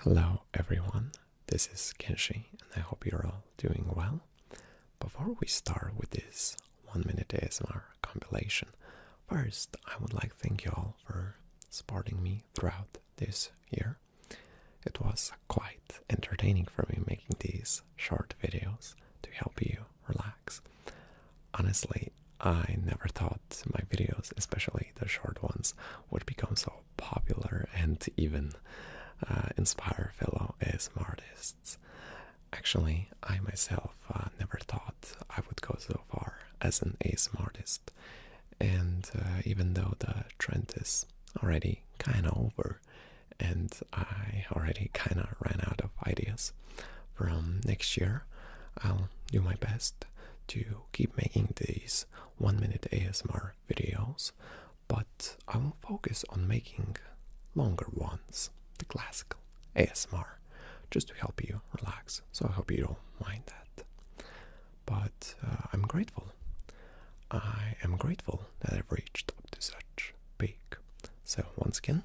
Hello everyone, this is Kenshi and I hope you're all doing well. Before we start with this 1 minute ASMR compilation, first I would like to thank you all for supporting me throughout this year. It was quite entertaining for me making these short videos to help you relax. Honestly, I never thought my videos, especially the short ones, would become so popular and even uh, inspire fellow ASM artists. Actually, I myself uh, never thought I would go so far as an ASM artist, and uh, even though the trend is already kinda over, and I already kinda ran out of ideas, from next year I'll do my best to keep making these one minute ASMR videos, but I will focus on making longer ones, the classical ASMR, just to help you relax. So I hope you don't mind that. But uh, I'm grateful. I am grateful that I've reached up to such peak. So once again,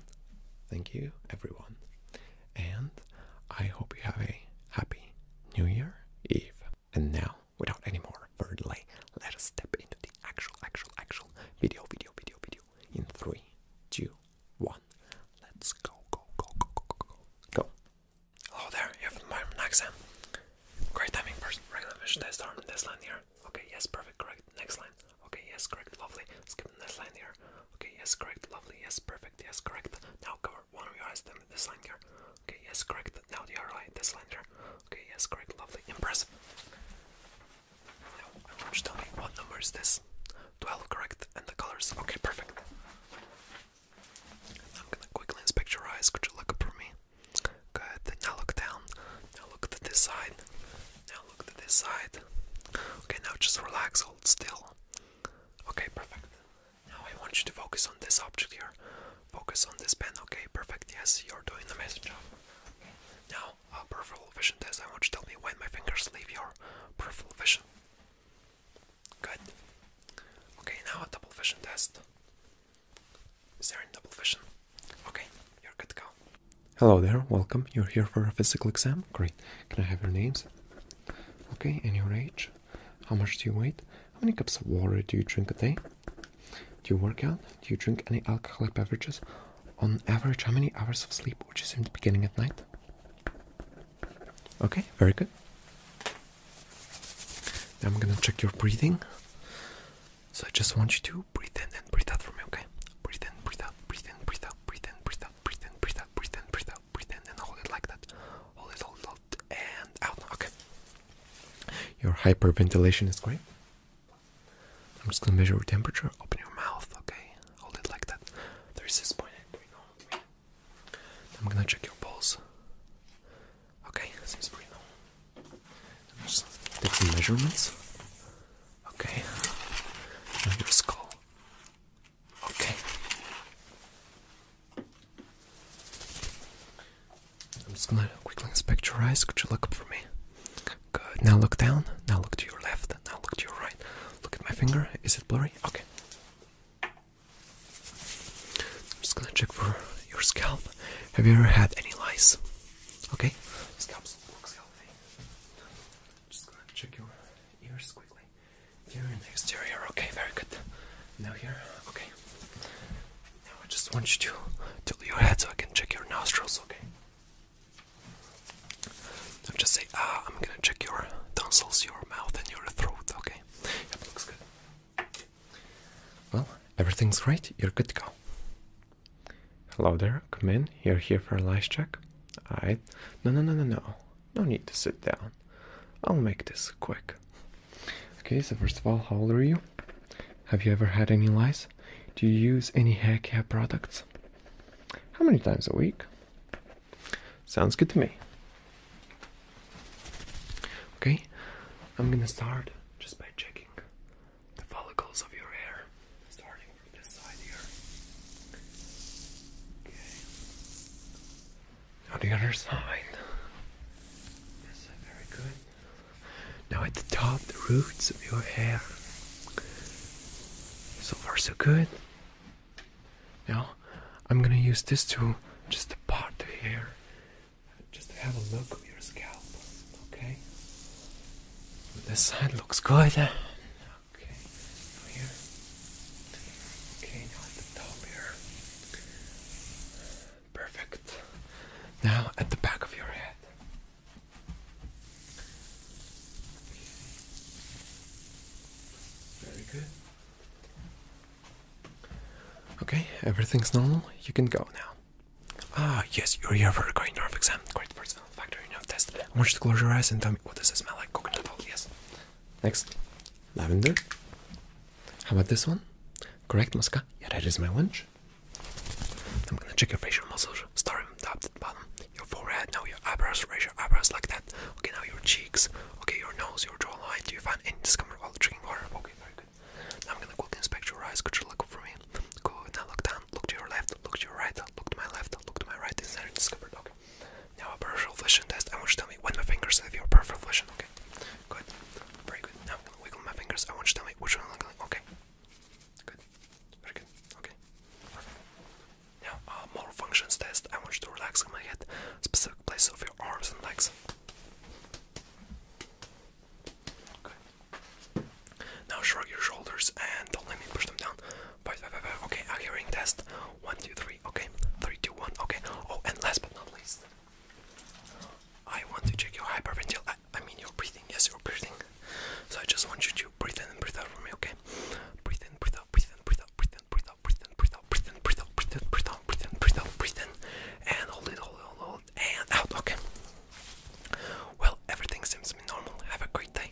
thank you everyone. And I hope you have a happy New Year Eve. And now, without any more further delay, let us step into the actual, actual, actual video, video, video, video. In three, two, one, let's go, go, go, go, go, go, go. Go. Hello oh, there, you have my Naxa. Um, great timing, first regular vision test arm. This line here. Okay, yes, perfect, correct. Next line. Okay, yes, correct, lovely. Skip the next line here. Okay, yes, correct, lovely. Yes, perfect, yes, correct. Now cover or why don't the slender? Okay, yes, correct. Now they are right, the slender. Okay, yes, correct, lovely, impressive. Now I tell me what number is this? 12, correct, and the colors. Okay, perfect. I'm gonna quickly inspect your eyes. Could you look up for me? Good. Now look down. Now look to this side. Now look to this side. Okay, now just relax, hold still. Okay, perfect. Now I want you to focus on this object here. Focus on this pen. Okay, perfect. Yes, you're doing the amazing job. Okay. Now, a peripheral vision test. I want you to tell me when my fingers leave your peripheral vision. Good. Okay, now a double vision test. Is there any double vision? Okay, you're good to go. Hello there, welcome. You're here for a physical exam? Great. Can I have your names? Okay, and your age? How much do you weigh? How many cups of water do you drink a day? Do you work out? Do you drink any alcoholic beverages? On average, how many hours of sleep would you assume the beginning at night? Okay, very good. I'm gonna check your breathing. So I just want you to breathe in and breathe out for me, okay? Breathe in, breathe out, breathe in, breathe out, breathe in, breathe out, breathe in, breathe out, breathe in, breathe out, breathe in, and hold it like that. Hold it, hold it, and out. Okay. Your hyperventilation is great. I'm just gonna measure your temperature. Open your mouth, okay? Hold it like that. There is this point. I'm gonna check your pulse. Okay, seems pretty normal. Just take some measurements. Okay. your skull. Okay. I'm just gonna quickly inspect your eyes. Could you look up for me? Good. Now look down. Now look to your left. Now look to your right. Look at my finger. Is it blurry? Okay. I'm just gonna check for your scalp. Have you ever had any lice? Okay. Scalp just gonna check your ears quickly. Lovely. Here in the exterior. Okay, very good. Now here. Okay. Now I just want you to tilt your head so I can check your nostrils. Okay. Now just say, ah, I'm gonna check your tonsils, your mouth, and your throat. Okay. Yep, looks good. Well, everything's great. You're good to go. Hello there. Come in. You're here for a lice check. Alright. No, no, no, no, no. No need to sit down. I'll make this quick. Okay, so first of all, how old are you? Have you ever had any lice? Do you use any hair care products? How many times a week? Sounds good to me. Okay, I'm gonna start just by checking the follicles of your hair, starting from this side here. Okay on the other side. Yes, very good. Now at the top, the roots of your hair. So far, so good. Now, I'm gonna use this tool just to part the hair, just have a look of your scalp. Okay. This side looks good. Okay. here. Okay, at the top here. Perfect. Now at the back of your head. Very good. Okay, everything's normal. You can go now. Ah, yes, you're here for a great nerve exam. Great personal factor nerve test. I want you to close your eyes and tell me what does it smell like? Coconut oil, yes. Next, lavender. How about this one? Correct, Muska? Yeah, that is my lunch. I'm gonna check your facial muscles, Start from top to bottom. Your forehead, now your eyebrows, raise your eyebrows like that. Okay, now your cheeks. Okay, your nose, your jawline. Do you find any discomfort while drinking water? Okay, very Now I'm gonna quickly inspect your eyes. Could you look for me? Go Now look down. Look to your left. Look to your right. Look to my left. Look to my right. Is there any discomfort? Okay. Now a peripheral vision test. I want you to tell me when my fingers have your peripheral vision. Okay. Good. Very good. Now I'm gonna wiggle my fingers. I want you to tell me which one I'm wiggling. Okay. Good. Very good. Okay. Perfect. Now uh, motor functions test. I want you to relax in my head, specific place of your arms and legs. Okay. Now shrug your shoulders and don't let me push them down. But, but, but, okay, a hearing test. One, two, three. Okay. Three, two, one. Okay. Oh, and last but not least, I want to check your hyperventil. I, mean, your breathing. Yes, your breathing. So I just want you to breathe in and breathe out for me. Okay. breathe in, breathe out, breathe in, breathe out, breathe in, breathe out, breathe in, breathe out, breathe in, breathe out, breathe in, breathe out, breathe in, and hold it, hold it, hold it, and out. Okay. Well, everything seems to be normal. Have a great day.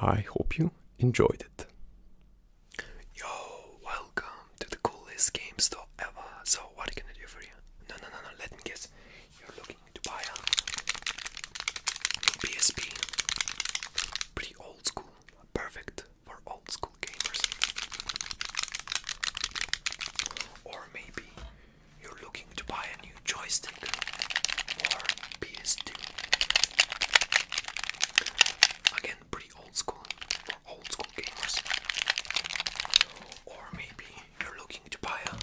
I hope you enjoyed it. Yo, welcome to the coolest game store ever. So, what are you do for you? No, no, no, no, let me guess. You're looking to buy a PSP. Pretty old school, perfect for old school gamers. Or maybe you're looking to buy a new joystick or PS2. Again, pretty old school for old school gamers. Or maybe you're looking to buy a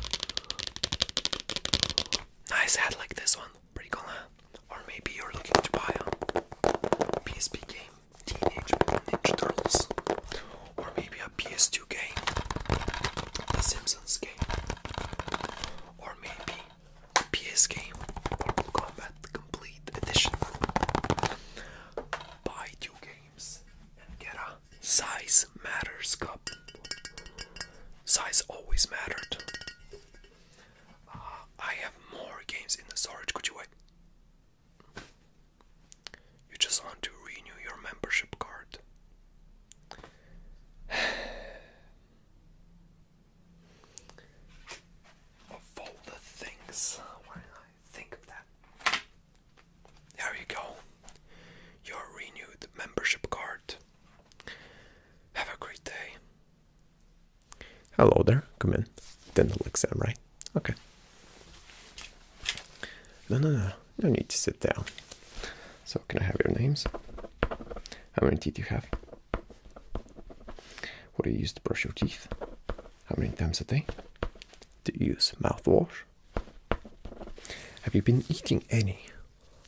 nice hat like this one, pretty cool, Or maybe you're looking to buy a PSP game, Teenage Mutant Ninja Turtles, or maybe a PS2 game, The Simpsons game, or maybe PS game Mortal Kombat Complete Edition Buy two games and get a size matters cup. Size always mattered. I have more games in the storage. Could you wait? You just want to renew your membership card. Of all the things, why did I think of that? There you go. Your renewed membership card. Have a great day. Hello there. Come in. Then Dental exam, right? Okay. No, no, no. No need to sit down. So, can I have your names? How many did you have? What do you use to brush your teeth? How many times a day? Do you use mouthwash? Have you been eating any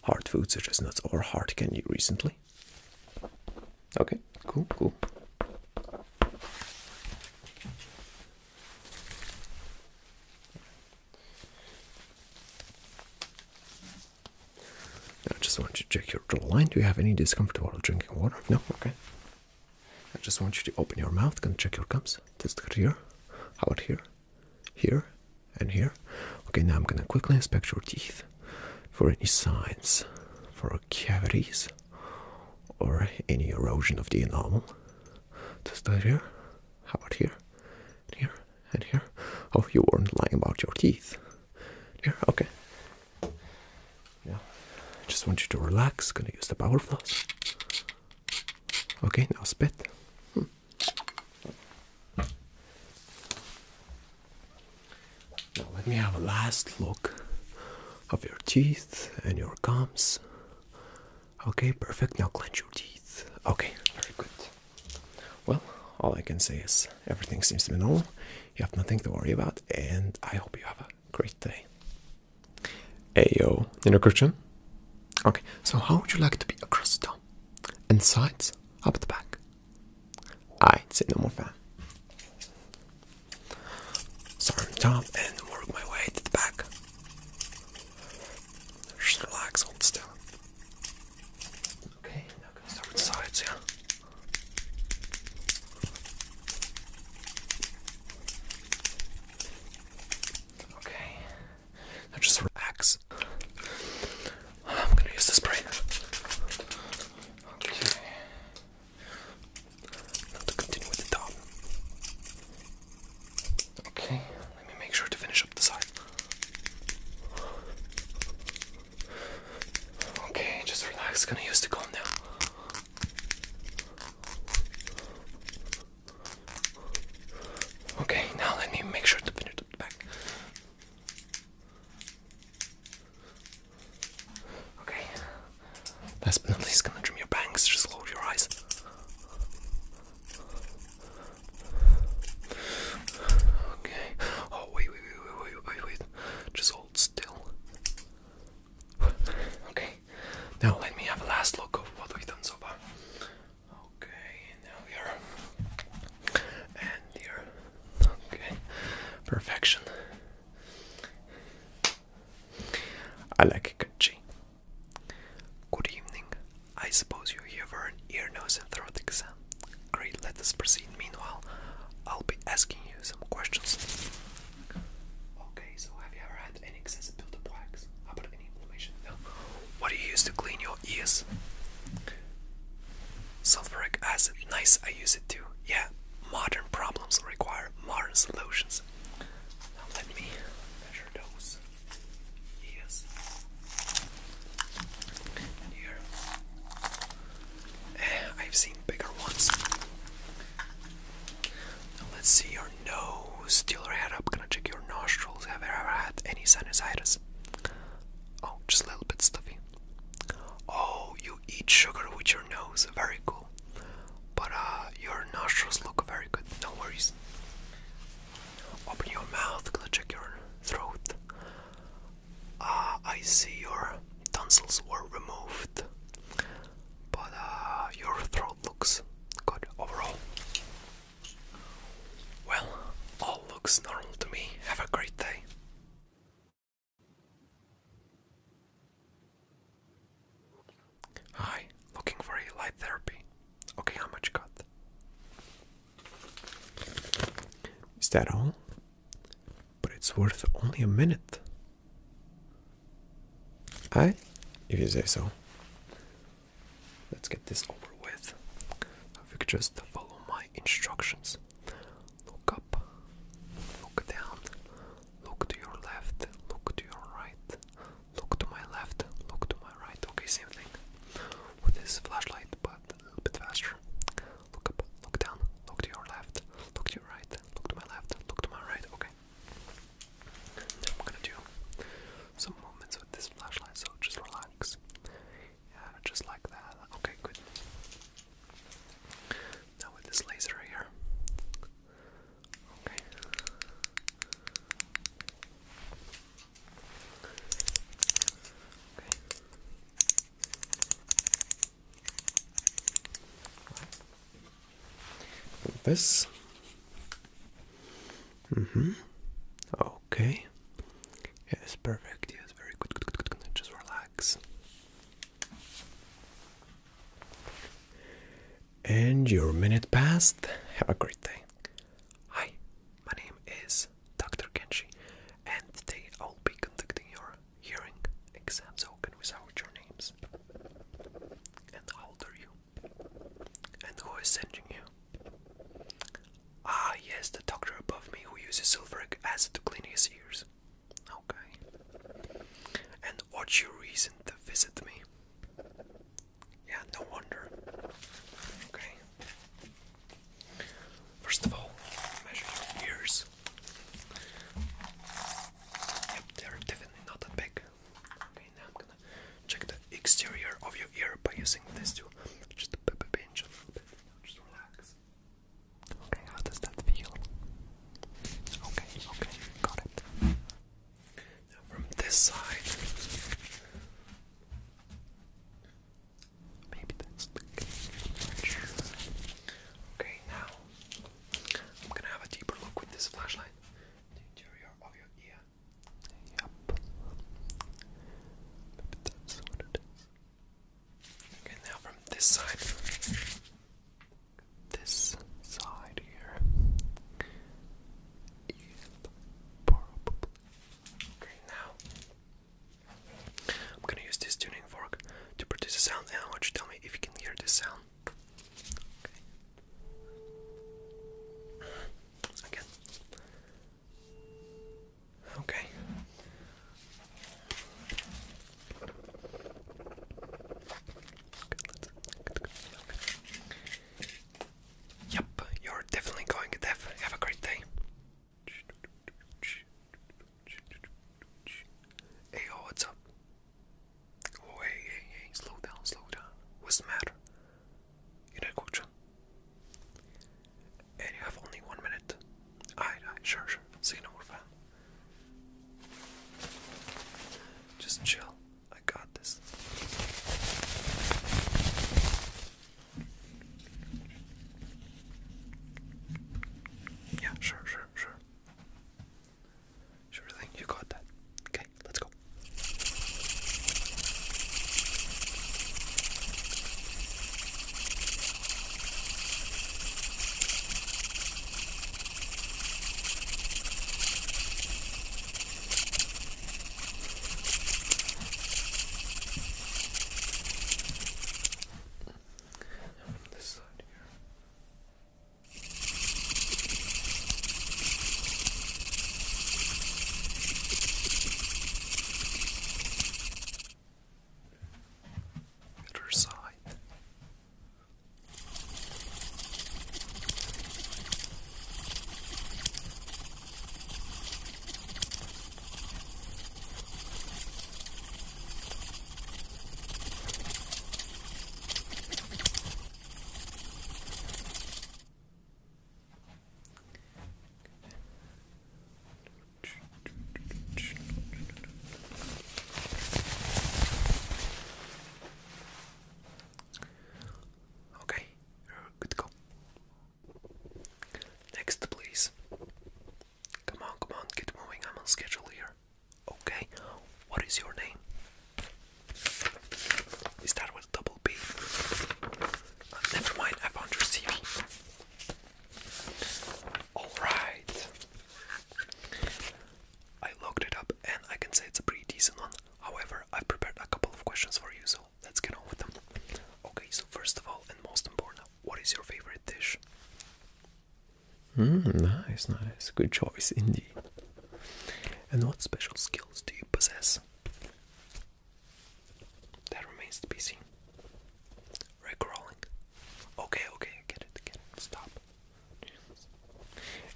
hard foods such as nuts or hard candy recently? Okay, cool, cool. I just want you to check your jawline. Do you have any discomfort while drinking water? No? Okay. I just want you to open your mouth. Can check your gums. Just Test here. How about here? Here and here. Okay, now I'm gonna quickly inspect your teeth for any signs for cavities or any erosion of the enamel. Just Test here. How about here? here and here? Oh, you weren't lying about your teeth. Here? Okay. Yeah. I Just want you to relax. Gonna use the power floss. Okay, now spit. Hmm. Now let me have a last look of your teeth and your gums. Okay, perfect. Now clench your teeth. Okay, very good. Well, all I can say is everything seems to be normal. You have nothing to worry about, and I hope you have a great day. yo, you know Christian? Okay, so how would you like to be across the top? And sides? Up the back? I'd say no more fan. Start on the top and work my way to the back. Just relax, old stuff. Okay, now I'm gonna start with sides, yeah. Okay, now just relax. I'm gonna use the spray. Okay. Now to continue with the top. Okay, let me make sure to finish up the side. Okay, just relax. Gonna use the comb now. Okay, now let me make sure to finish the back. Okay. Last but not least, gonna trim your bangs. Just close your eyes. Okay. Oh wait, wait, wait, wait, Just hold still. okay. Now let me have a last look of what we've done so far. Okay, now here. And here. Okay. Perfection. I like it, Kachi. Good evening. I suppose you're here for an ear, nose, and throat exam. Great, let us proceed. Meanwhile, I'll be asking you some questions. Okay, so have you ever had any excessive buildup How about any inflammation? No. What do you use to clean your ears? Sulfuric acid. Nice, I use it too. Yeah, modern problems require modern solutions. Now let me measure those ears. Here. I've seen bigger ones. let's see your nose. Deal your head up. Gonna check your nostrils. Have you ever had any sinusitis? Oh, just a little bit stuffy. Oh, you eat sugar with your nose. Very cool. But uh, your nostrils look very good. No worries. Open your mouth. Gonna check your throat uh, I see your tonsils were removed, but uh, your throat looks good overall. Well, all looks normal to me. Have a great day. Hi, looking for light therapy. Okay, how much cut? Is that all? But it's worth only a minute. I, if you say so. Let's get this over with. If you could just follow my instructions. Look up, look down, look to your left, look to your right, look to my left, look to my right. Okay, same thing with this flashlight, but a little bit faster. Look up, look down, look to your left, look to your right, look to my left, look to my right. Okay. I'm gonna do some movements with this flashlight, so just relax. Yeah, just like that. Okay, good. Now with this laser here. Okay. Okay. Like this. Mm-hmm. Okay. Yes, perfect. Yes, very good. Just relax. And your minute passed. Have a great day. Hi, my name is Dr. Kenshi, and they will be conducting your hearing exams, So, can we out your names? And how old are you? And who is sending you? Ah, yes, the doctor above me who uses sulfuric acid to clean his ears. Okay. And what's your reason to visit me? Yeah, no wonder. Okay. First of all, measure your ears. Yep, they're definitely not that big. Okay, now I'm gonna check the exterior of your ear by using this to just a little bit. Just relax. Okay, how does that feel? Okay, okay, got it. Now from this side. Maybe that's the case. Okay, now I'm gonna have a deeper look with this flashlight. The interior of your ear. Yep. Maybe that's what it is. Okay, now from this side. This side here. Okay, now I'm gonna use this tuning fork to produce a sound, and I want you to tell me if you can hear this sound. Okay. Again. Okay. Yep, you're definitely going deaf. Have a great day. Hey yo, what's up? Oh hey hey slow down, slow down. What's the matter? You need a And you have only one minute. Alright, alright, sure, sure. See you in a fan. Just chill. I got this. Yeah, sure, sure, sure. Sure thing, you got that. Okay, let's go. And this side here. Other side. Okay, you're good to go. Next, please. Come on, come on, get moving. I'm on schedule here. Okay, what is your name? We start with double B. Uh, never mind, I found your CV. Alright. I looked it up and I can say it's a pretty decent one. However, I've prepared a couple of questions for you, so let's get on with them. Okay, so first of all, and most important, what is your favorite dish? Mm, nice, nice. Good choice indeed. And what special skills do you possess? That remains to be seen. Rick rolling. Okay, okay, get it, get it. Stop.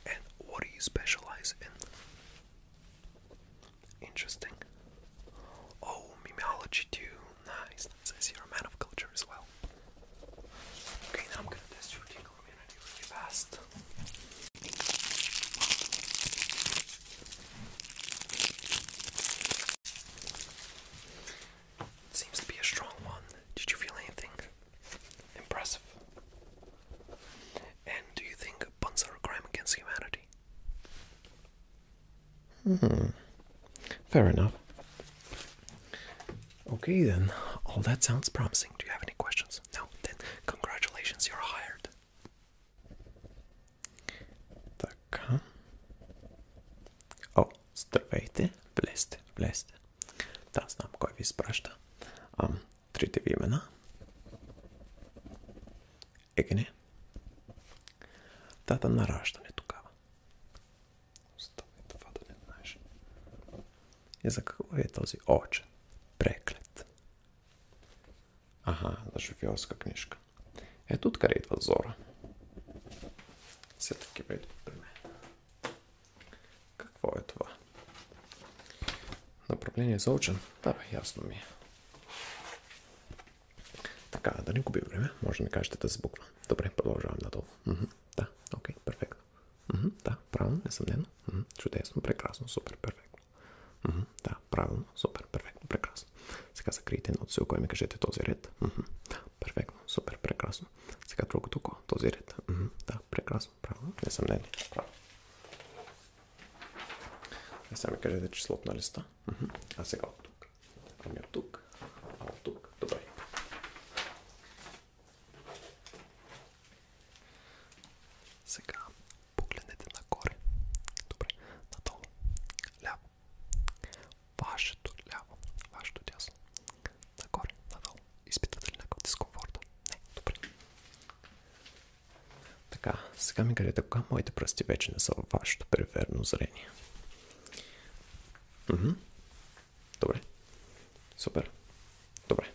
And what do you specialize in? Interesting. Oh, memeology too. Nice, nice. I see you're a man of culture as well. Okay, now I'm gonna test your tingle immunity really fast. It seems to be a strong one. Did you feel anything? Impressive. And do you think puns are a crime against humanity? Hmm. Fair enough. Okay, then. All that sounds promising. Do you have any questions? No? Then, congratulations, you're hired. Так. О, oh, здравейте. Влезте, влезте. Да, знам кой ви изпраща. Трите ви имена. Егне. Тата на раждане тогава. Остави това да не знаеш. И за какво е този очен? Преклет. Ага, за шофьорска книжка. Ето откъде идва зора. Все таки идват при мен. Какво е това? Направление за очен? Да, бе, ясно ми е. Така, да не губим време, може да ми кажете да сбуква. Добре, продължавам надолу. М -м, да, окей, okay, перфектно. М -м, да, правилно, несъмнено. М -м, чудесно, прекрасно, супер, перфектно. М -м, да, правилно, супер, перфектно, прекрасно. Сега закрийте едно цилко и ми кажете този ред. М -м, да, перфектно, супер, прекрасно. Сега друго, око, този ред. М -м, да, прекрасно, правилно, несъмнено. Не сега ми кажете числото на листа. А сега от тук. Ами от тук, а тук. Добре. Сега погледнете нагоре. Надолу. Ляво. Вашето ляво. Вашето дясно. Нагоре. Надолу. Изпитвате ли някакъв дискомфорт? Не. Добре. Така, сега ми кажете кога моите пръсти вече не са във вашето периферно зрение. Mhm. Dobre. Super. Dobre.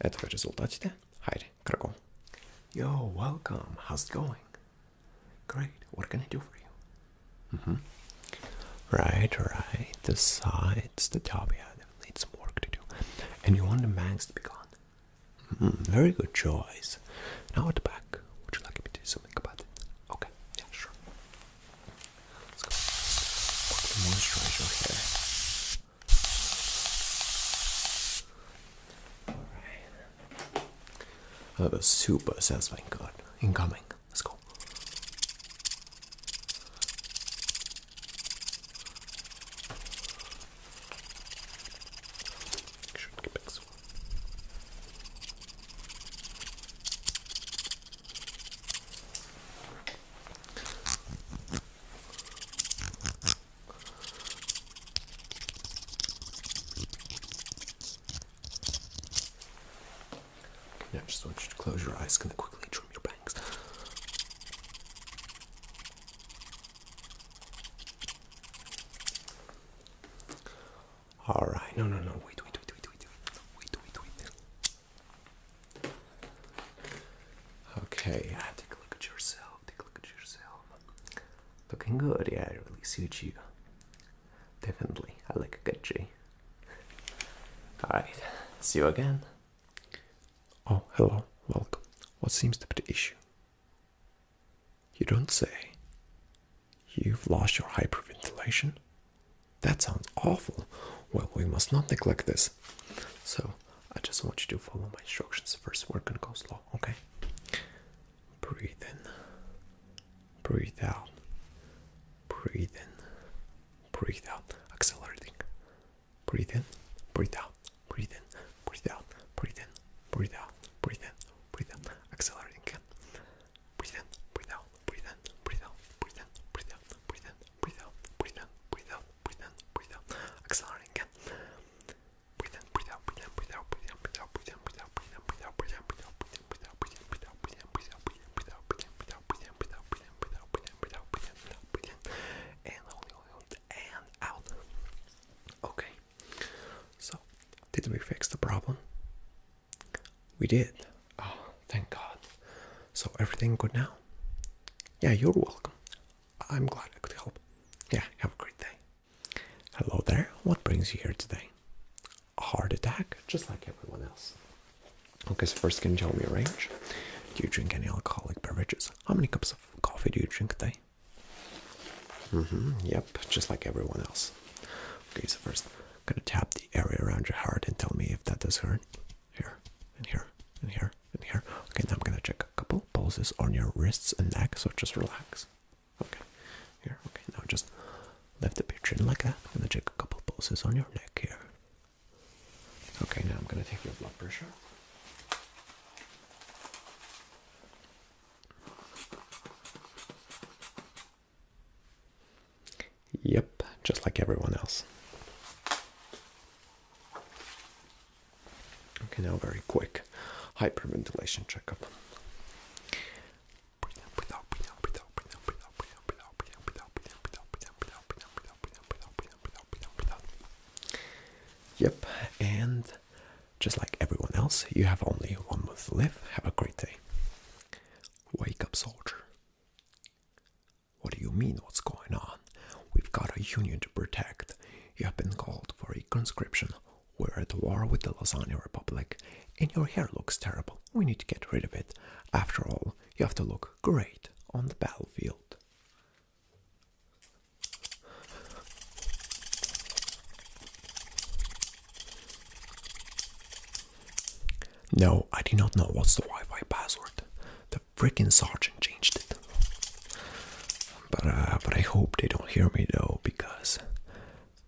Ето вече резултатите. Хайде, кръго. Yo, welcome. How's it going? Great. What can I do for you? -hmm. Right, right. The sides, the top, yeah, definitely some work to do. And you want the bangs to be gone. Hmm, very good choice. Now at the back, would you like me to do something about it? Okay, yeah, sure. Let's go. Quickly moisturize your hair. Alright. Oh, super satisfying. Good. Incoming. Let's go. I just want you to close your eyes. Gonna quickly trim your bangs. All right. No, no, no. Wait, wait, wait, wait, wait, wait, wait, wait. Okay. Yeah, take a look at yourself. Take a look at yourself. Looking good. Yeah, it really suits you. Definitely. I like a good G. All right. See you again. Oh, hello. Welcome. What seems to be the issue? You don't say. You've lost your hyperventilation? That sounds awful. Well, we must not neglect this. So, I just want you to follow my instructions. First, we're gonna go slow, okay? Breathe in, breathe out, breathe in, breathe out, accelerating, breathe in, breathe out, breathe in, breathe out, breathe in, breathe out, breathe in, breathe out, accelerating again. Breathe in, breathe out, breathe in, breathe out, breathe in, breathe out, breathe in, breathe out, breathe in, breathe out, breathe in, breathe out, accelerating again. Breathe in, breathe out, breathe in, breathe out, breathe in, breathe out, breathe in, breathe out, breathe in, breathe out, breathe in, breathe out, breathe in, breathe out, breathe in, breathe out, breathe in, breathe out, breathe in, breathe out, breathe in, breathe out, breathe in, breathe out, breathe in, breathe out, breathe in, breathe out, breathe in, breathe out, breathe in, breathe in, and only, only, and out. Okay, so did we fix the problem? We did. Ah, thank God. So everything good now? Yeah, you're welcome. I'm glad I could help. Yeah, have a great day. Hello there. What brings you here today? heart attack, just like everyone else. Okay, so first, can you tell me your range? Do you drink any alcoholic beverages? How many cups of coffee do you drink a day? Mm-hmm. Yep, just like everyone else. Okay, so first, I'm gonna tap the area around your heart and tell me if that does hurt. Here, and here, and here, and here. Okay, now I'm gonna check a couple pulses on your wrists and neck, so just relax. Okay, here, okay, now just lift up your chin like that. I'm gonna check a couple pulses on your neck here. Okay, now I'm gonna take your blood pressure. Yep, just like everyone else. Okay, now very quick hyperventilation checkup. Yep, and just like everyone else, you have only one month to live. Have a great day. Wake up, soldier. What do you mean, what's going on? We've got a union to protect. You have been called for a conscription. We're at war with the Lasagna Republic, and your hair looks terrible. We need to get rid of it. After all, you have to look great on the battlefield. No, I do not know what's the Wi-Fi password. The freaking sergeant changed it. But uh, but I hope they don't hear me though because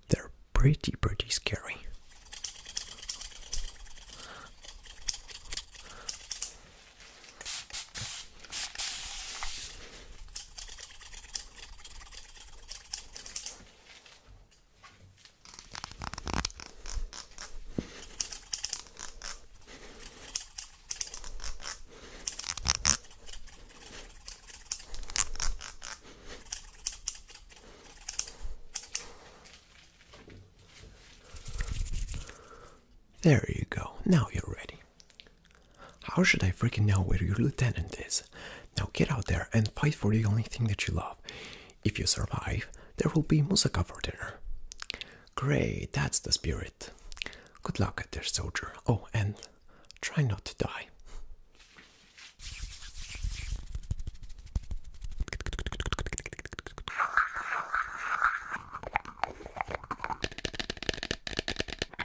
they're pretty pretty scary. There you go. Now you're ready. How should I freaking know where your lieutenant is? Now get out there and fight for the only thing that you love. If you survive, there will be moussaka for dinner. Great, that's the spirit. Good luck out there, soldier. Oh, and try not to die.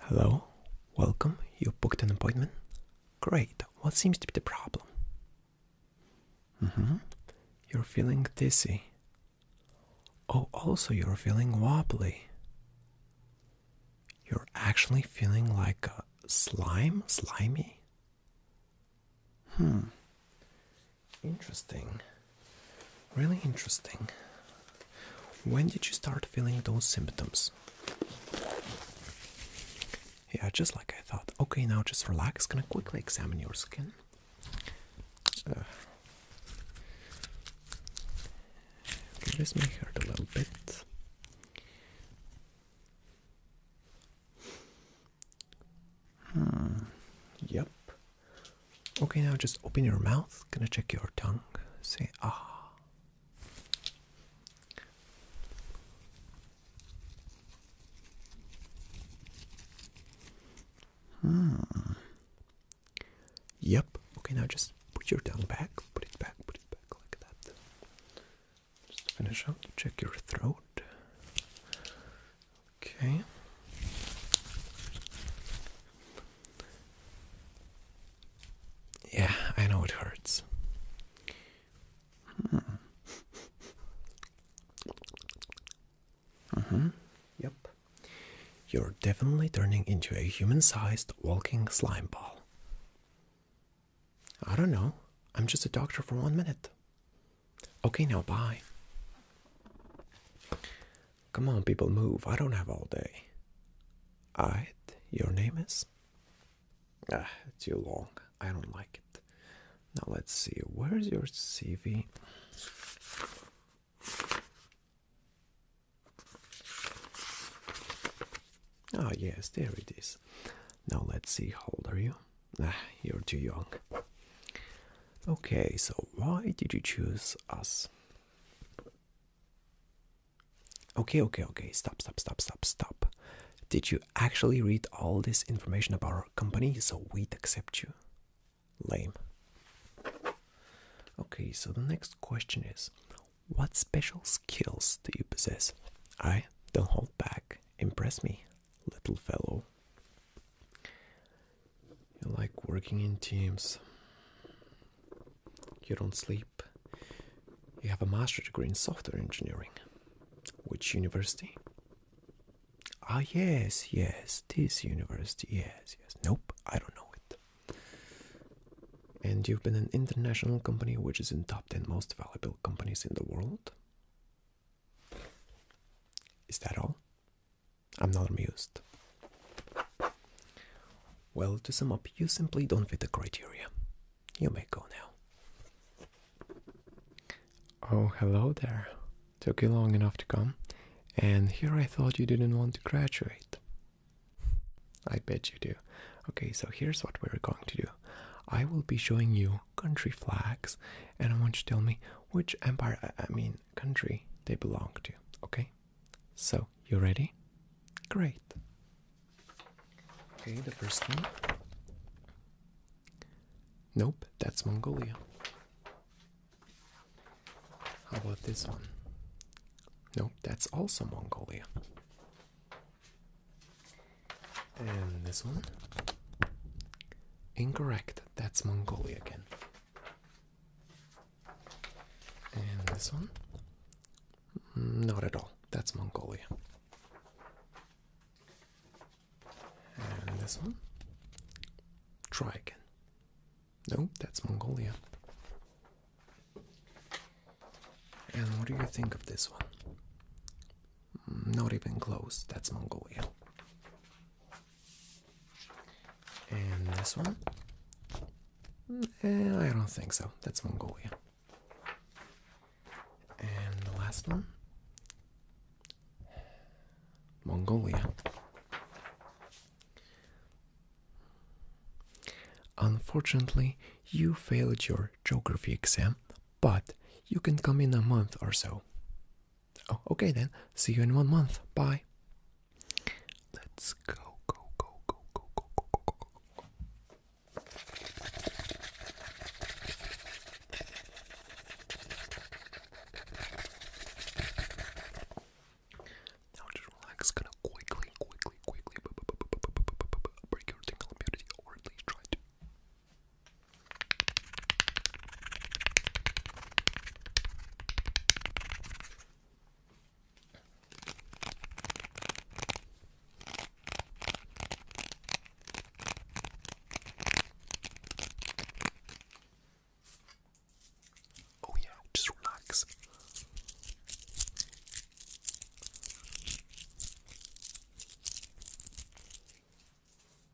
Hello, welcome. You booked an appointment? Great. What seems to be the problem? Mm hmm. You're feeling dizzy. Oh, also, you're feeling wobbly. You're actually feeling like slime? Slimy? Hmm. Interesting. Really interesting. When did you start feeling those symptoms? Yeah, just like I thought. Okay, now just relax. Gonna quickly examine your skin. Uh, this may hurt a little bit. Hmm. Yep. Okay, now just open your mouth. Gonna check your tongue. Say ah. Hmm. Yep. Okay, now just put your tongue back. Put it back. Put it back like that. Just finish up, check your throat. Okay. Yeah, I know it hurts. Mm hmm. Mm-hmm. Yep. You're definitely turning into a human sized walking slime ball. I don't know. I'm just a doctor for one minute. Okay, now bye. Come on, people, move. I don't have all day. Alright, your name is? Ah, too long. I don't like it. Now let's see, where's your CV? Ah, yes, there it is. Now let's see, how old are you? Ah, you're too young. Okay, so why did you choose us? Okay, okay, okay, stop, stop, stop, stop, stop. Did you actually read all this information about our company so we'd accept you? Lame. Okay, so the next question is What special skills do you possess? I don't hold back. Impress me, little fellow. You like working in teams. You don't sleep. You have a master's degree in software engineering. Which university? Ah, yes, yes, this university, yes, yes. Nope, I don't know it. And you've been an international company which is in top 10 most valuable companies in the world? Is that all? I'm not amused. Well, to sum up, you simply don't fit the criteria. You may go now. Oh, hello there. Took you long enough to come. And here I thought you didn't want to graduate. I bet you do. Okay, so here's what we're going to do. I will be showing you country flags, and I want you to tell me which empire, I mean, country they belong to. Okay? So, you ready? Great. Okay, the first one. Nope, that's Mongolia. How about this one? Nope, that's also Mongolia. And this one? Incorrect, that's Mongolia again. And this one? Mm, not at all. That's Mongolia. And this one? Try again. No, that's Mongolia. And what do you think of this one? Mm, not even close, that's Mongolia. And this one? Eh, I don't think so. That's Mongolia. And the last one? Mongolia. Unfortunately, you failed your geography exam, but you can come in a month or so. Oh, okay then. See you in one month. Bye. Let's go, go, go, go, go, go, go, go, go. Now just relax, gonna quickly, quickly, quickly break your tingle immunity, or at least try to. Oh, yeah, just relax.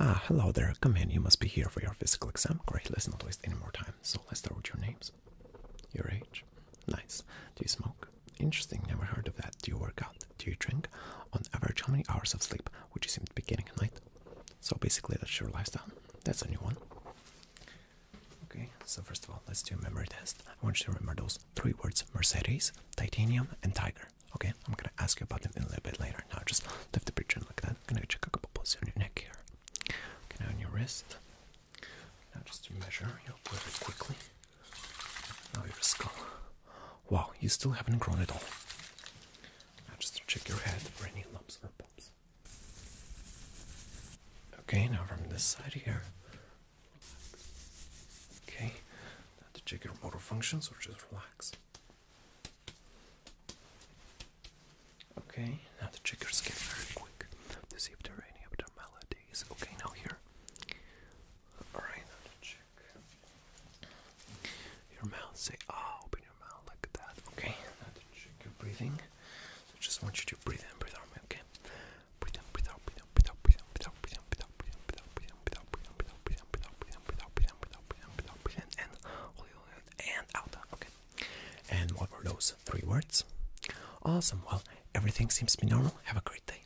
Ah, hello there. Come in. You must be here for your physical exam. Great. Let's not waste any more time. So let's start with your names. Your age. Nice. Do you smoke? Interesting. Never heard of that. Do you work out? Do you drink? On average, how many hours of sleep would you seem to be getting a night? So basically, that's your lifestyle. That's a new one. Okay. So first of all, let's do a memory test. I want you to remember those three words Mercedes, titanium, and tiger. Okay, I'm gonna ask you about them a little bit later. Now just lift the pigeon like that. I'm gonna check a couple pulses on your neck here. Okay, now on your wrist. Now just to measure your really quickly. Now your skull. Wow, you still haven't grown at all. Now just to check your head for any lumps or bumps. Okay, now from this side here, Okay, now to check your motor functions or just relax. Okay, now to check your skin very quick to see if there are any abnormalities. Okay, now here. Alright, now to check your mouth. Say, ah, oh, open your mouth Look at that. Okay, now to check your breathing. So I just want you to breathe in, breathe out, okay? breathe in, and out. Okay. And what were those three words? Awesome. Well, everything seems to be normal. Have a great day.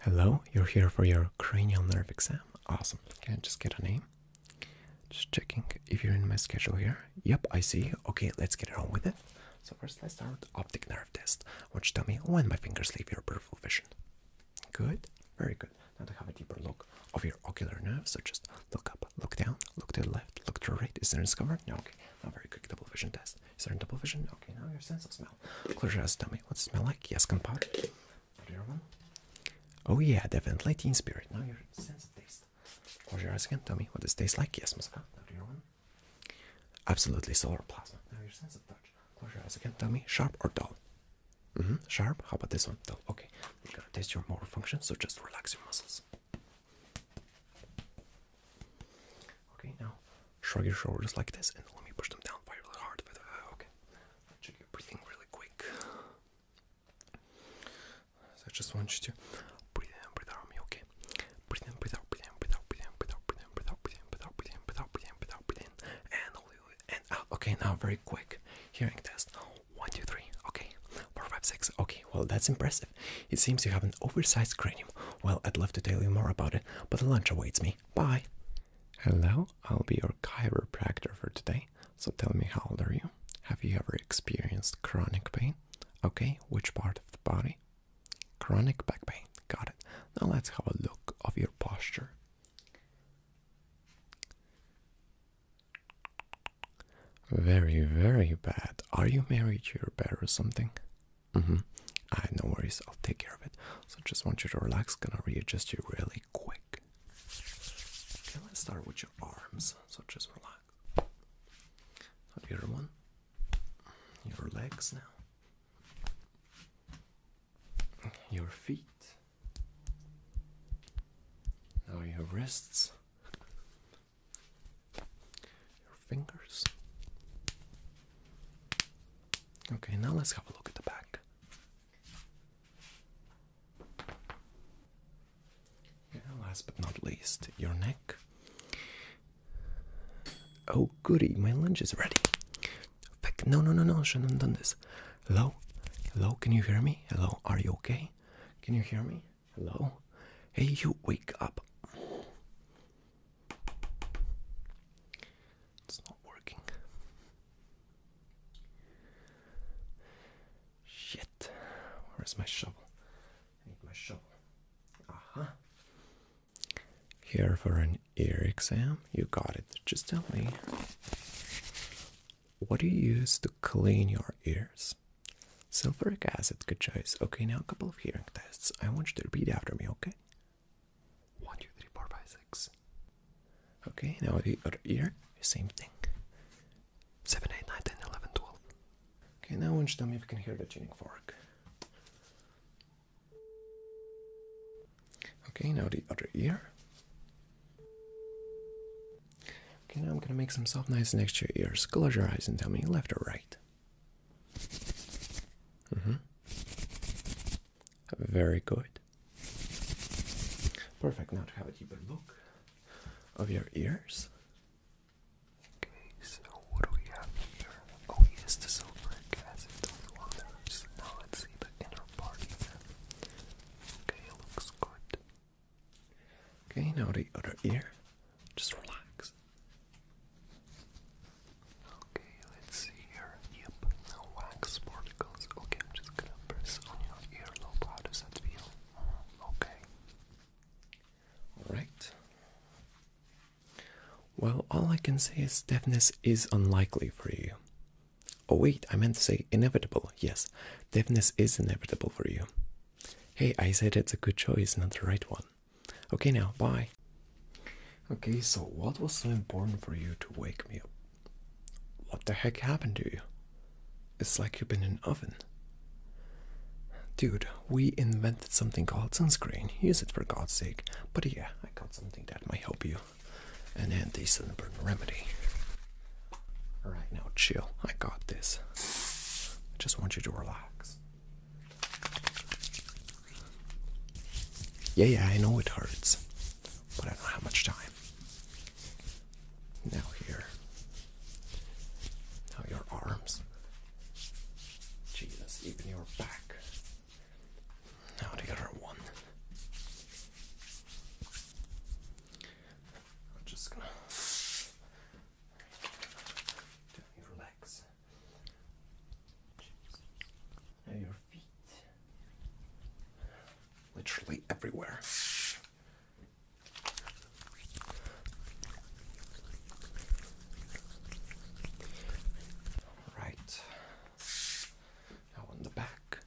Hello, you're here for your cranial nerve exam. Awesome. Okay. just get a name? Just checking if you're in my schedule here. Yep, I see. Okay, let's get on with it. So first let's start optic nerve test, which tell me when my fingers leave your peripheral vision. Good, very good. Now to have a deeper look of your ocular nerve, so just look up, look down, look to the left, look to the right. Is there any discovery? No, okay. Now very quick double vision test. Is there any double vision? Okay, now your sense of smell. Close your eyes, tell me what's it smell like? Yes, compadre. one? Oh yeah, definitely teen spirit. Now your sense of taste. Close your eyes again, tell me what this tastes like. Yes, Moscow. Now Absolutely solar plasma. Now your sense of touch. Close your eyes again. Tell me, sharp or dull? -hmm. Sharp. How about this one? Dull. Okay. We're gonna test your motor function, so just relax your muscles. Okay. Now shrug your shoulders like this, and let me push them down really hard. Uh, okay. Check your breathing really quick. So I just want you to breathe in, breathe out me. Okay. Okay. Breathe in, breathe out, breathe in, breathe out, breathe in, breathe out, breathe in, breathe out, breathe in, breathe out, breathe in, breathe out, breathe in, breathe out, breathe in, and Okay, now very quick hearing test. One, two, three. Okay, four, five, six. Okay, well that's impressive. It seems you have an oversized cranium. Well, I'd love to tell you more about it, but lunch awaits me. Bye. Hello, I'll be your chiropractor for today. So tell me, how old are you? Have you ever experienced chronic pain? Okay, which part of the body? Chronic back pain. Got it. Now let's have a look of your posture. Very, very bad. Are you married to your bed or something? Mm-hmm. I ah, right, no worries, I'll take care of it. So just want you to relax, gonna readjust you really quick. Okay, let's start with your arms. So just relax. So your one, your legs now your feet, now your wrists, your fingers. Okay, now let's have a look at the back. last but not least, your neck. Oh goody, my lunch is ready. Fuck! no, no, no, no, shouldn't have done this. Hello? Hello, can you hear me? Hello, are you okay? Can you hear me? Hello? Hey, you wake up. It's not working. Shit. Where's my shovel? I need my shovel. Uh here for an ear exam. You got it. Just tell me. What do you use to clean your ears? Sulfuric acid, good choice. Okay, now a couple of hearing tests. I want you to repeat after me, okay? One, two, three, four, five, six. Okay, now the other ear, same thing. 7, 8, 9, 10, 11, 12. Okay, now I want you to tell me if you can hear the tuning fork. Okay, now the other ear. Okay, now I'm gonna make some soft nice, next to your ears. Close your eyes and tell me left or right. hmm Very good. Perfect. Now to have a deeper look of your ears. Okay, so what do we have here? Oh yes, the sulfuric acid on wonders. Now let's see the inner party then. Okay, it looks good. Okay, now the other ear. Just relax. Okay, let's see here. Yep, no wax particles. Okay, I'm just gonna press on your earlobe. How does that feel? Mm, okay. Alright. Well, all I can say is deafness is unlikely for you. Oh, wait, I meant to say inevitable. Yes, deafness is inevitable for you. Hey, I said it's a good choice, not the right one. Okay, now, bye. Okay, so what was so important for you to wake me up? What the heck happened to you? It's like you've been in an oven. Dude, we invented something called sunscreen. Use it for God's sake. But yeah, I got something that might help you. An anti-sunburn remedy. Alright, now chill. I got this. I just want you to relax. Yeah, yeah, I know it hurts. But I know how much time. Now here. Now your arms. Jesus, even your back. Now det got our one. I'm just gonna relax. Now your feet literally everywhere. All right. Now on the back.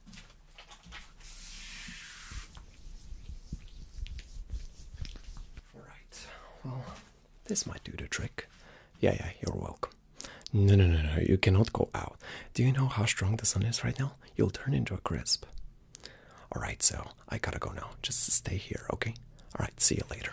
All right. Well, this might do the trick. Yeah, yeah, you're welcome. No, no, no, no. You cannot go out. Do you know how strong the sun is right now? You'll turn into a crisp. All right, so I gotta go now. Just stay here, okay? All right, see you later.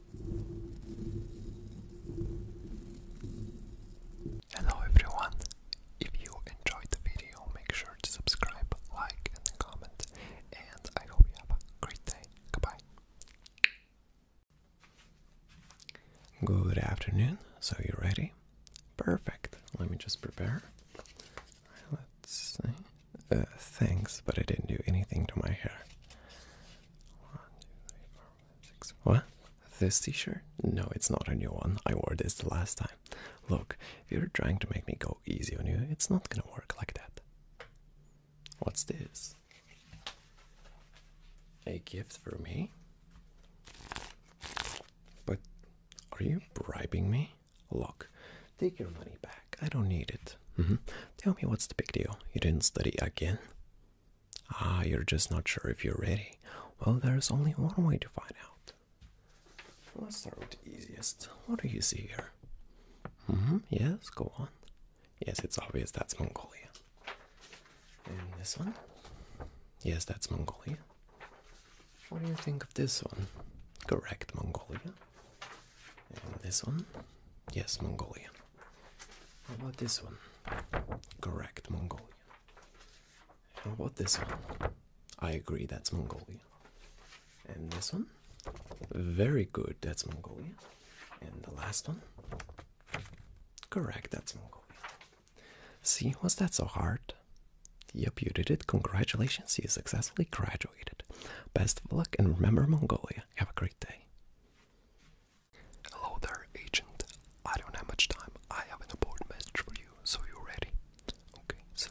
Hello everyone! If you enjoyed the video, make sure to subscribe, like, and comment. And I hope you have a great day. Goodbye. Good afternoon. So, you ready? Perfect. Let me just prepare. right, let's see. Uh, thanks, but I didn't do anything to my hair. What? This t shirt? No, it's not a new one. I wore this the last time. Look, you're trying to make me go easy on you, it's not gonna work like that. What's this? A gift for me? But are you bribing me? Look, take your money back. I don't need it. Mm-hmm. Tell me what's the big deal? You didn't study again? Ah, you're just not sure if you're ready. Well, there's only one way to find out. Let's start with the easiest. What do you see here? -hmm. Yes, go on. Yes, it's obvious that's Mongolia. And this one? Yes, that's Mongolia. What do you think of this one? Correct, Mongolia. And this one? Yes, Mongolia. How about this one? Correct, Mongolian. How about this one? I agree, that's Mongolian. And this one? Very good, that's Mongolia. And the last one? Correct, that's Mongolia. See, was that so hard? Yep, you did it. Congratulations, you successfully graduated. Best of luck and remember Mongolia. Have a great day. Hello there, agent. I don't have much time. I have an important message for you, so you ready. Okay, so.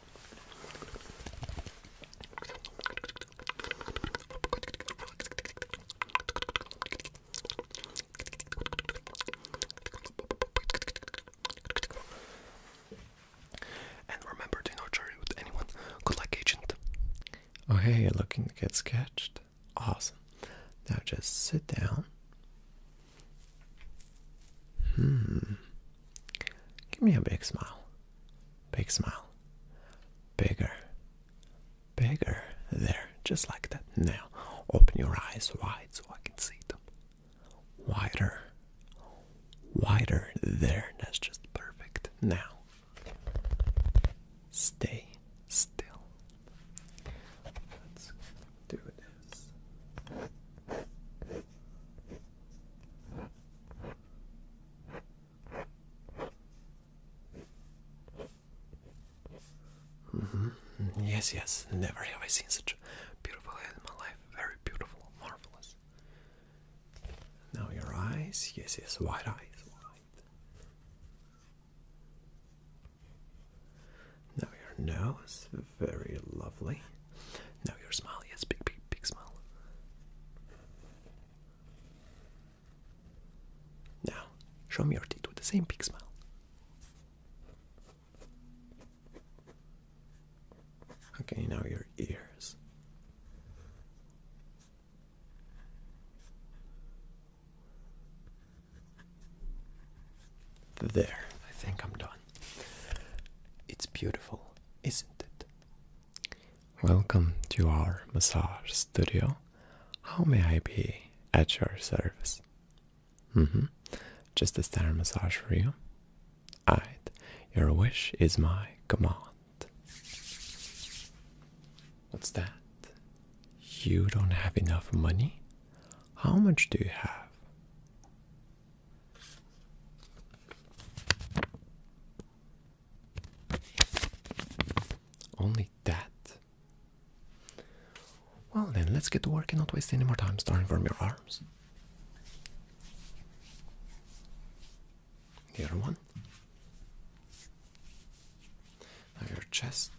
And remember to not share with anyone. Good luck, agent. Oh, hey, you're looking to get sketched? Awesome. Now just sit down. Hmm. Give me a big smile. Big smile. Bigger. Bigger. There. Just like that. Now, open your eyes wide so I can see them. Wider. Wider. There. That's just perfect. Now, stay still. Let's do this. Mm -hmm. Yes, yes, never have I seen such beautiful head in my life. Very beautiful, marvelous. Now your eyes, yes, yes, Wide eyes, Wide. Now your nose, very lovely. Now your smile. Yes, big, big, big smile. Now, show me your teeth with the same big smile. Okay, now your ears. There, I think I'm done. It's beautiful, isn't it? Welcome to our massage studio. How may I be at your service? Mm-hmm. Just a standard massage for you. Alright. Your wish is my command. What's that? You don't have enough money? How much do you have? Only that. Well, then, let's get to work and not waste any more time starting from your arms. The other one. Now your chest.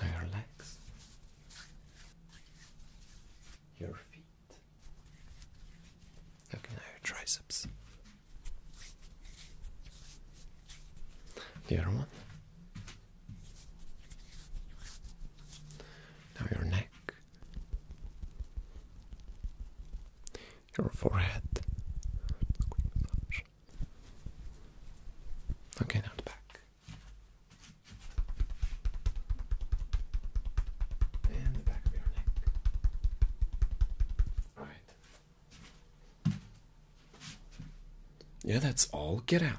Your legs, your feet. Okay, now your triceps. The other one. Now your neck. Your forehead. Okay, now the back. And the back of your neck. Alright. Yeah, that's all. Get out.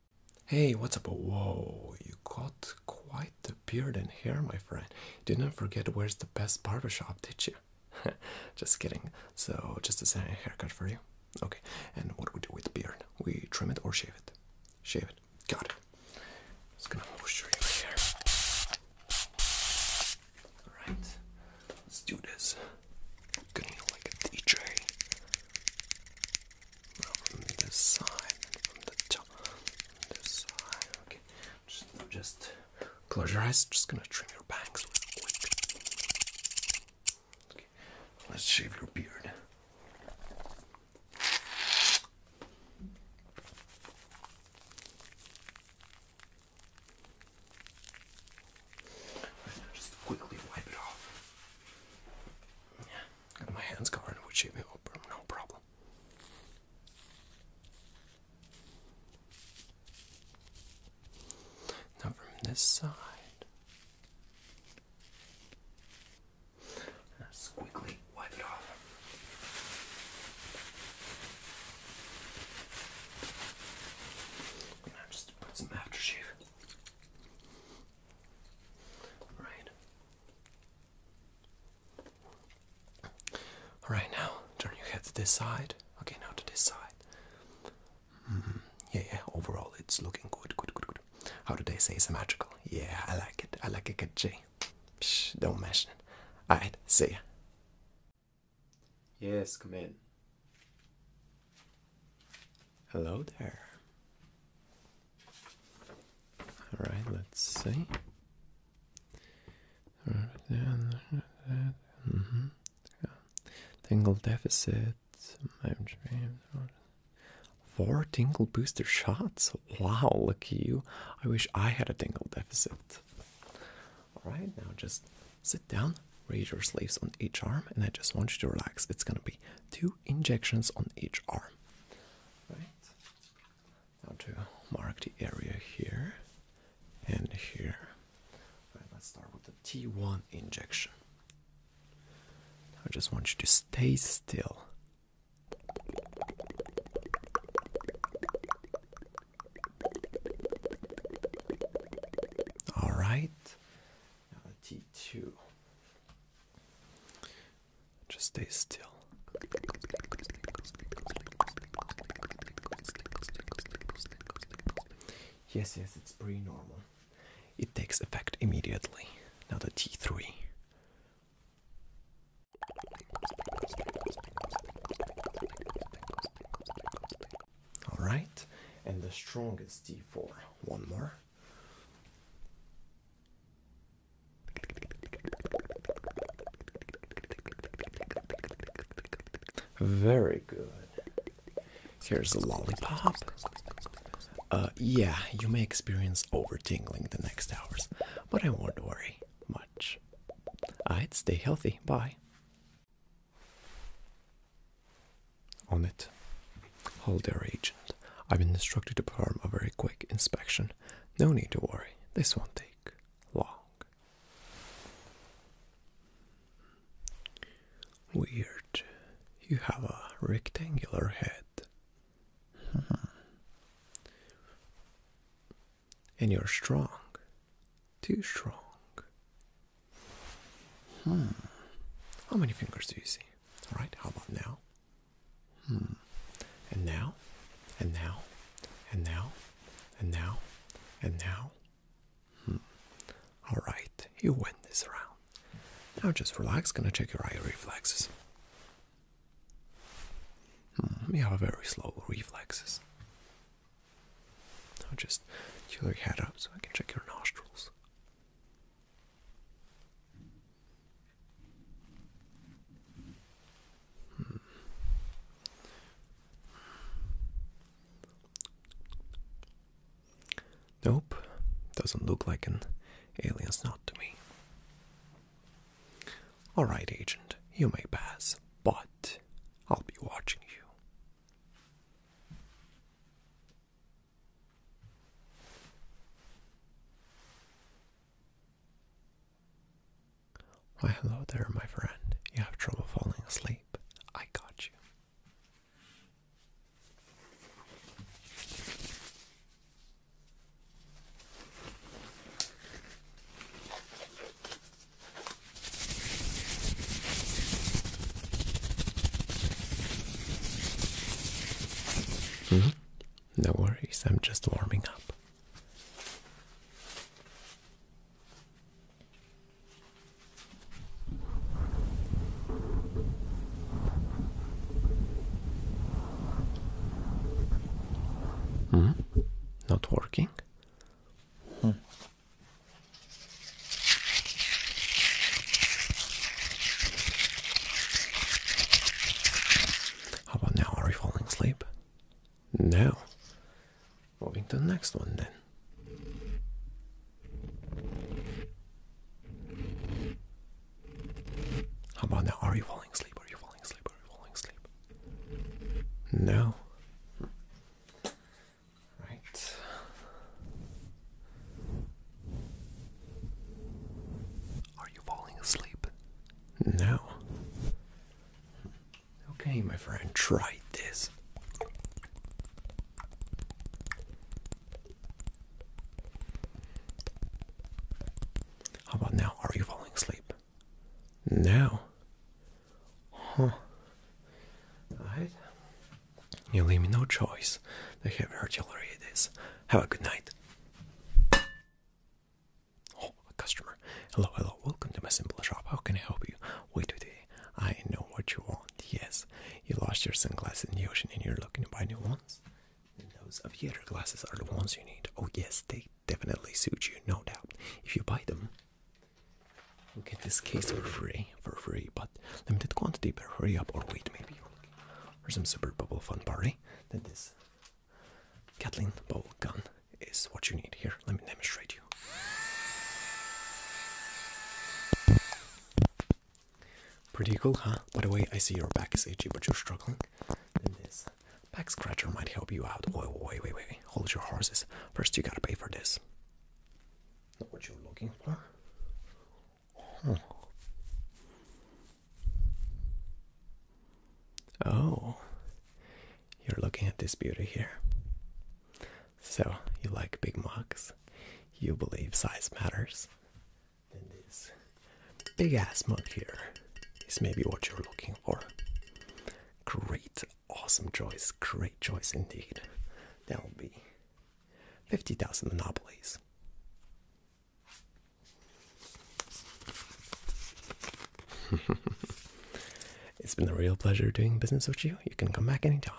Hey, what's up? Whoa, you got quite a beard and hair, my friend. Didn't forget where's the best barbershop, did you? just kidding. So, just a haircut for you. Okay, and what do we do with beard? We trim it or shave it? Shave it. Got it. Just gonna moisturize your hair. Alright, let's do this. going like a DJ from this side, from the top, this side. Okay, just, close your eyes. Just gonna trim your bangs Okay, let's shave your beard. Just quickly wipe it off. Yeah and my hands covered in wood shaving, no problem. Now from this side, let quickly wipe it off. And just put some aftershave Right. Alright, now turn your head to this side. Okay, now to this side. Mm-hmm. Yeah, yeah, overall it's looking good, good, good, good. How do they say it's magical? Yeah, I like it. I like it, Good, KJ. Shh, don't mention it. Alright, see ya. Yes, come in. Hello there. All right, let's see. Mm -hmm. yeah. Tingle deficit. Four tingle booster shots. Wow, look you. I wish I had a tingle deficit. All right, now just sit down, raise your sleeves on each arm, and I just want you to relax. It's gonna be two injections on each arm. Right. Now to mark the area here and here. let's start with the T1 injection. I just want you to stay still. All right. Now d2. Just stay still. Yes, yes, it's pretty normal. It takes effect immediately. Now the T3. All right, and the strongest T4. One more. Very good. Here's a lollipop. Uh, yeah, you may experience over tingling the next hours, but I won't worry much. I'd stay healthy. Bye on it. Hold there, agent. I've been instructed to perform a very quick inspection. No need to worry, this won't take long. Weird. You have a rectangular head. Hmm. And you're strong. Too strong. Hmm. How many fingers do you see? All right, how about now? Hmm. And now, and now, and now, and now, Hmm. All right, you win this round. Now just relax. Gonna check your eye reflexes. Hmm. You have a very slow reflexes. Now just tilt your head up so I can check your nostrils. Hmm. Nope, doesn't look like an alien's knot to me. Alright, Agent, you may pass, but I'll be watching you. Why, hello there, my friend. You have trouble falling asleep. I got you. Mm-hmm. No worries, I'm just warming up. Hmm? Not working? Hmm. How about now? Are we falling asleep? No. Moving to the next one then. How about now? Are you falling asleep? Are you falling asleep? Are you falling asleep? No. Right. Are you falling asleep? No. Okay, my friend, try this. How about now? Are you falling asleep? No. Huh. Alright. You leave me no choice. The heavy artillery it is. Have a good night. Oh, customer. Hello, hello. Welcome to my simple shop. How can I help you? Wait today. I know what you want. Yes, you lost your sunglasses in the ocean and you're looking to buy new ones. those aviator glasses are the ones you need. Oh, yes, they definitely suit you, no doubt. If you buy them, you get this case for free, for free, but limited quantity. Better hurry up or wait, maybe or some super bubble fun party, then this Kathleen bubble gun is what you need. Here, let me demonstrate you. Pretty cool, huh? By the way, I see your back is itchy, but you're struggling. this back scratcher might help you out. Wait, wait, wait, wait. Hold your horses. First, you gotta pay for this. Not what you're looking for. Oh, you're looking at this beauty here. So, you like big mugs, you believe size matters, this big ass mug here is maybe what you're looking for. Great, awesome choice, great choice indeed. That'll be 50,000 monopolies. it's been a real pleasure doing business with you. You can come back any time.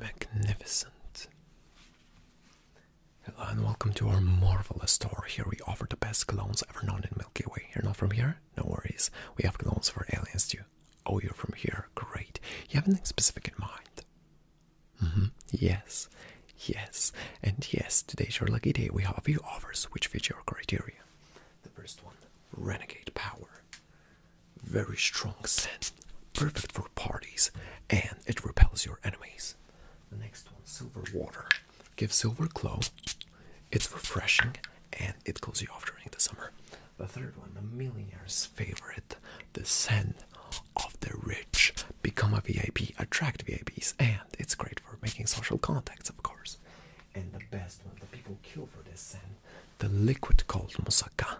Magnificent. Hello and welcome to our marvelous store. Here we offer the best clones ever known in Milky Way. You're not from here? No worries. We have clones for aliens too. Oh, you're from here. Great. You have anything specific in mind? Mm-hmm. Yes, yes, and yes, today's your lucky day. We have a few offers which fit your criteria. The first one Renegade Power. Very strong scent, perfect for parties, and it repels your enemies. The next one Silver Water. Gives silver glow, it's refreshing, and it cools you off during the summer. The third one, the millionaire's favorite, the scent of the rich. Become a VIP, attract VIPs, and it's great for making social contacts, of course. And the best one, the people kill for this scent, the liquid called musaka.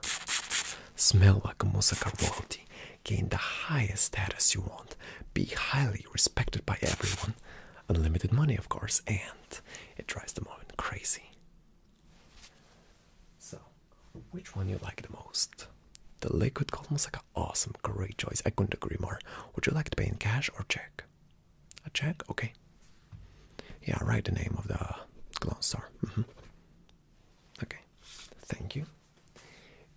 Smell like a musaka royalty. Gain the highest status you want. Be highly respected by everyone. Unlimited money, of course, and it drives the moment crazy. So, which one you like the most? The liquid gold moussaka, awesome, great choice. I couldn't agree more. Would you like to pay in cash or check? A check, okay. Yeah, write the name of the clone store. Mm -hmm. Okay, thank you.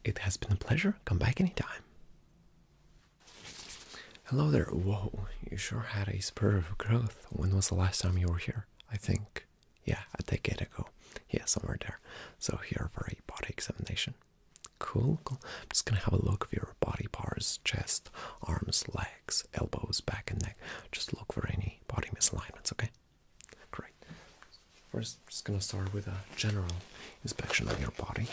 It has been a pleasure. Come back anytime. Hello there. Whoa, you sure had a spur of growth. When was the last time you were here? I think yeah, a decade ago. Yeah, somewhere there. So here for a body examination. Cool, cool. I'm just gonna have a look of your body parts, chest, arms, legs, elbows, back and neck. Just look for any body misalignments, okay? Great. We're just gonna start with a general inspection of your body.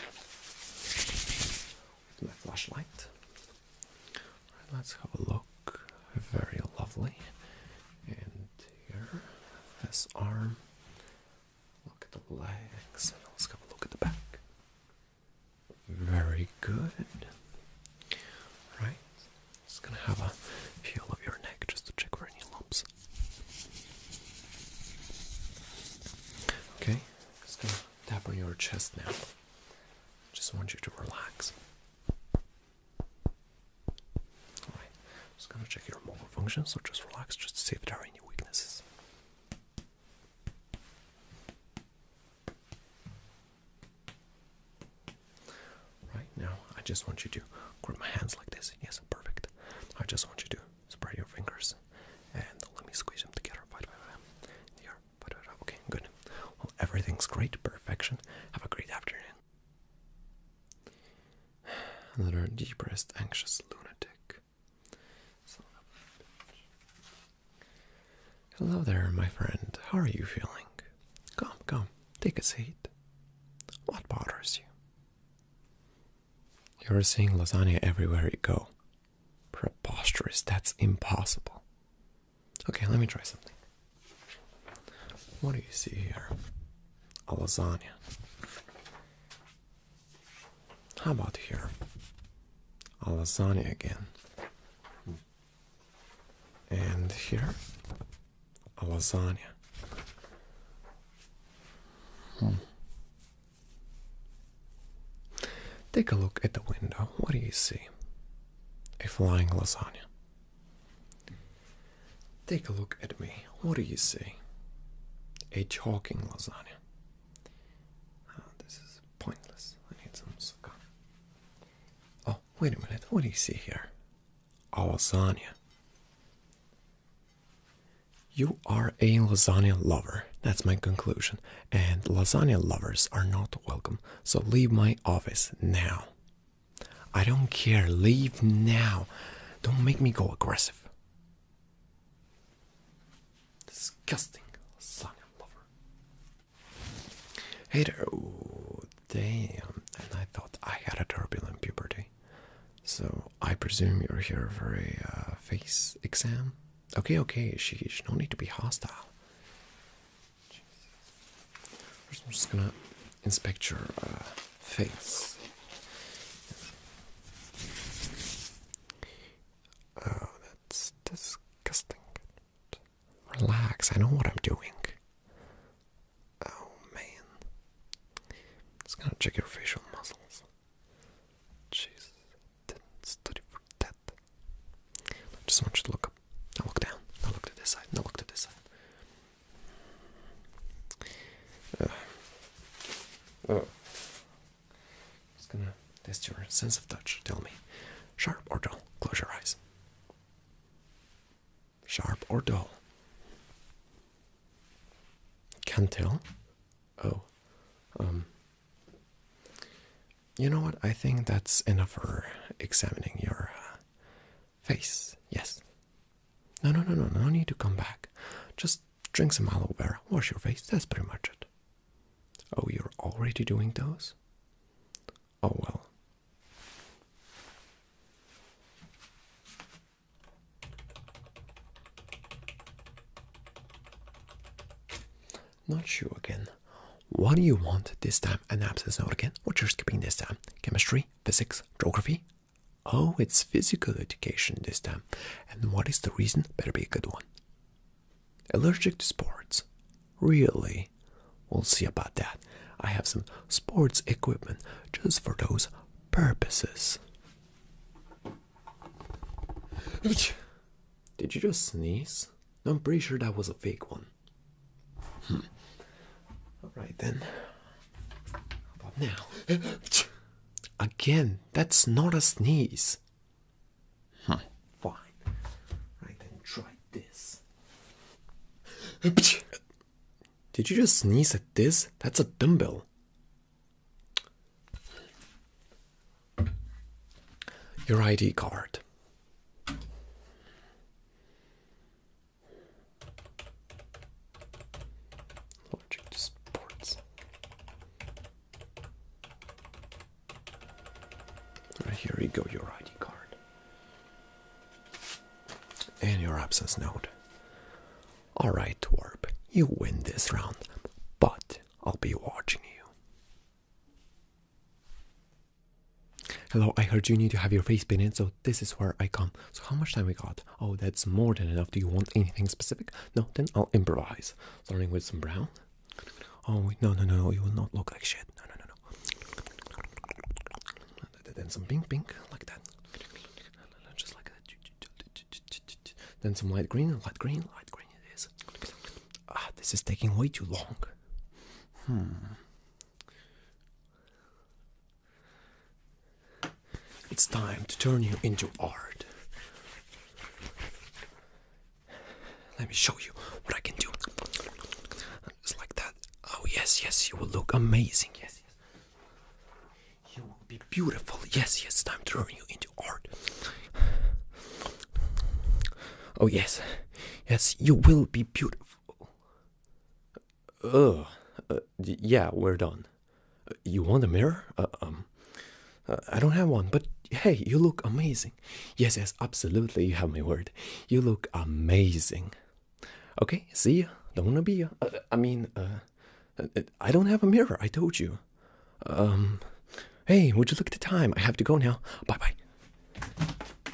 With my flashlight. right, let's have a look very lovely. And here, this arm. Look at the legs. Let's have a look at the back. Very good. Right. Just gonna have a feel of your neck just to check for any lumps. Okay. Just gonna tap on your chest now. Just want you to relax. Alright, just gonna check your motor function, so just relax, just see if there are any weaknesses. Right now, I just want you to grab my hands like this. Yes, perfect. I just want you to spread your fingers and let me squeeze them together. Here, okay, good. Well, everything's great, perfection. Have a great afternoon. Another depressed, anxious lunatic. Hello there, my friend. How are you feeling? Come, come, take a seat. What bothers you? You're seeing lasagna everywhere you go. Preposterous, that's impossible. Okay, let me try something. What do you see here? A lasagna. How about here? A lasagna again. And here? A lasagna. Hmm. Take a look at the window. What do you see? A flying lasagna. Take a look at me. What do you see? A chalking lasagna. Ah, this is pointless. I need some sugar. Oh, wait a minute. What do you see here? A lasagna. You are a lasagna lover. That's my conclusion. And lasagna lovers are not welcome. So leave my office now. I don't care. Leave now. Don't make me go aggressive. Disgusting son of a lover. Hey there. damn. And I thought I had a turbulent puberty. So I presume you're here for a uh, face exam? Okay, okay, she, she do need to be hostile i I'm just gonna inspect your uh, face. Oh, that's disgusting. Relax, I know what I'm doing. Oh man. Just gonna check your facial muscles. Jeez, didn't study for that. I just want you to look up. Now look down. Now look to this side. Now look to this side. Uh, oh. Just gonna test your sense of touch. Tell me. Sharp or dull? Close your eyes. Sharp or dull? Can't tell. Oh. Um. You know what? I think that's enough for examining your uh, face. Yes. No, no, no, no, no need to come back. Just drink some aloe vera, wash your face. That's pretty much it. Oh, you're already doing those? Oh, well. Not sure again. What do you want this time? An absence note again? What you're skipping this time? Chemistry? physics, geography. Oh, it's physical education this time. And what is the reason? Better be a good one. Allergic to sports. Really? We'll see about that. I have some sports equipment just for those purposes. Did you just sneeze? I'm pretty sure that was a fake one. Hmm. All right then. How about now? Again, that's not a sneeze. Fine. Right then, try this. Did you just sneeze at this? That's a dumbbell. Your ID card. Allergic sports. here you go, your ID card. And your absence note. Alright, Warp. you win this round, but I'll be watching you. Hello, I heard you need to have your face painted, so this is where I come. So how much time we got? Oh, that's more than enough. Do you want anything specific? No, then I'll improvise. Starting with some brown. Oh, no, no, no, you will not look like shit. No, no, no, no. Then some pink, pink, like that. Just like that. Then some light green, light green, light green it is. Ah, this is taking way too long. Hmm. It's time to turn you into art. Let me show you what I can do. Just like that. Oh, yes, yes, you will look amazing. Yes, yes. You will be beautiful. Yes, yes, time to turn you into art. Oh, yes. Yes, you will be beautiful. Oh, yeah, we're done. Uh, you want a mirror? Uh, um, I don't have one, but hey, you look amazing. Yes, yes, absolutely. You have my word. You look amazing. Okay, see you. Don't wanna be. I mean, uh, I don't have a mirror. I told you. Um, hey, would you look at the time? I have to go now. Bye bye.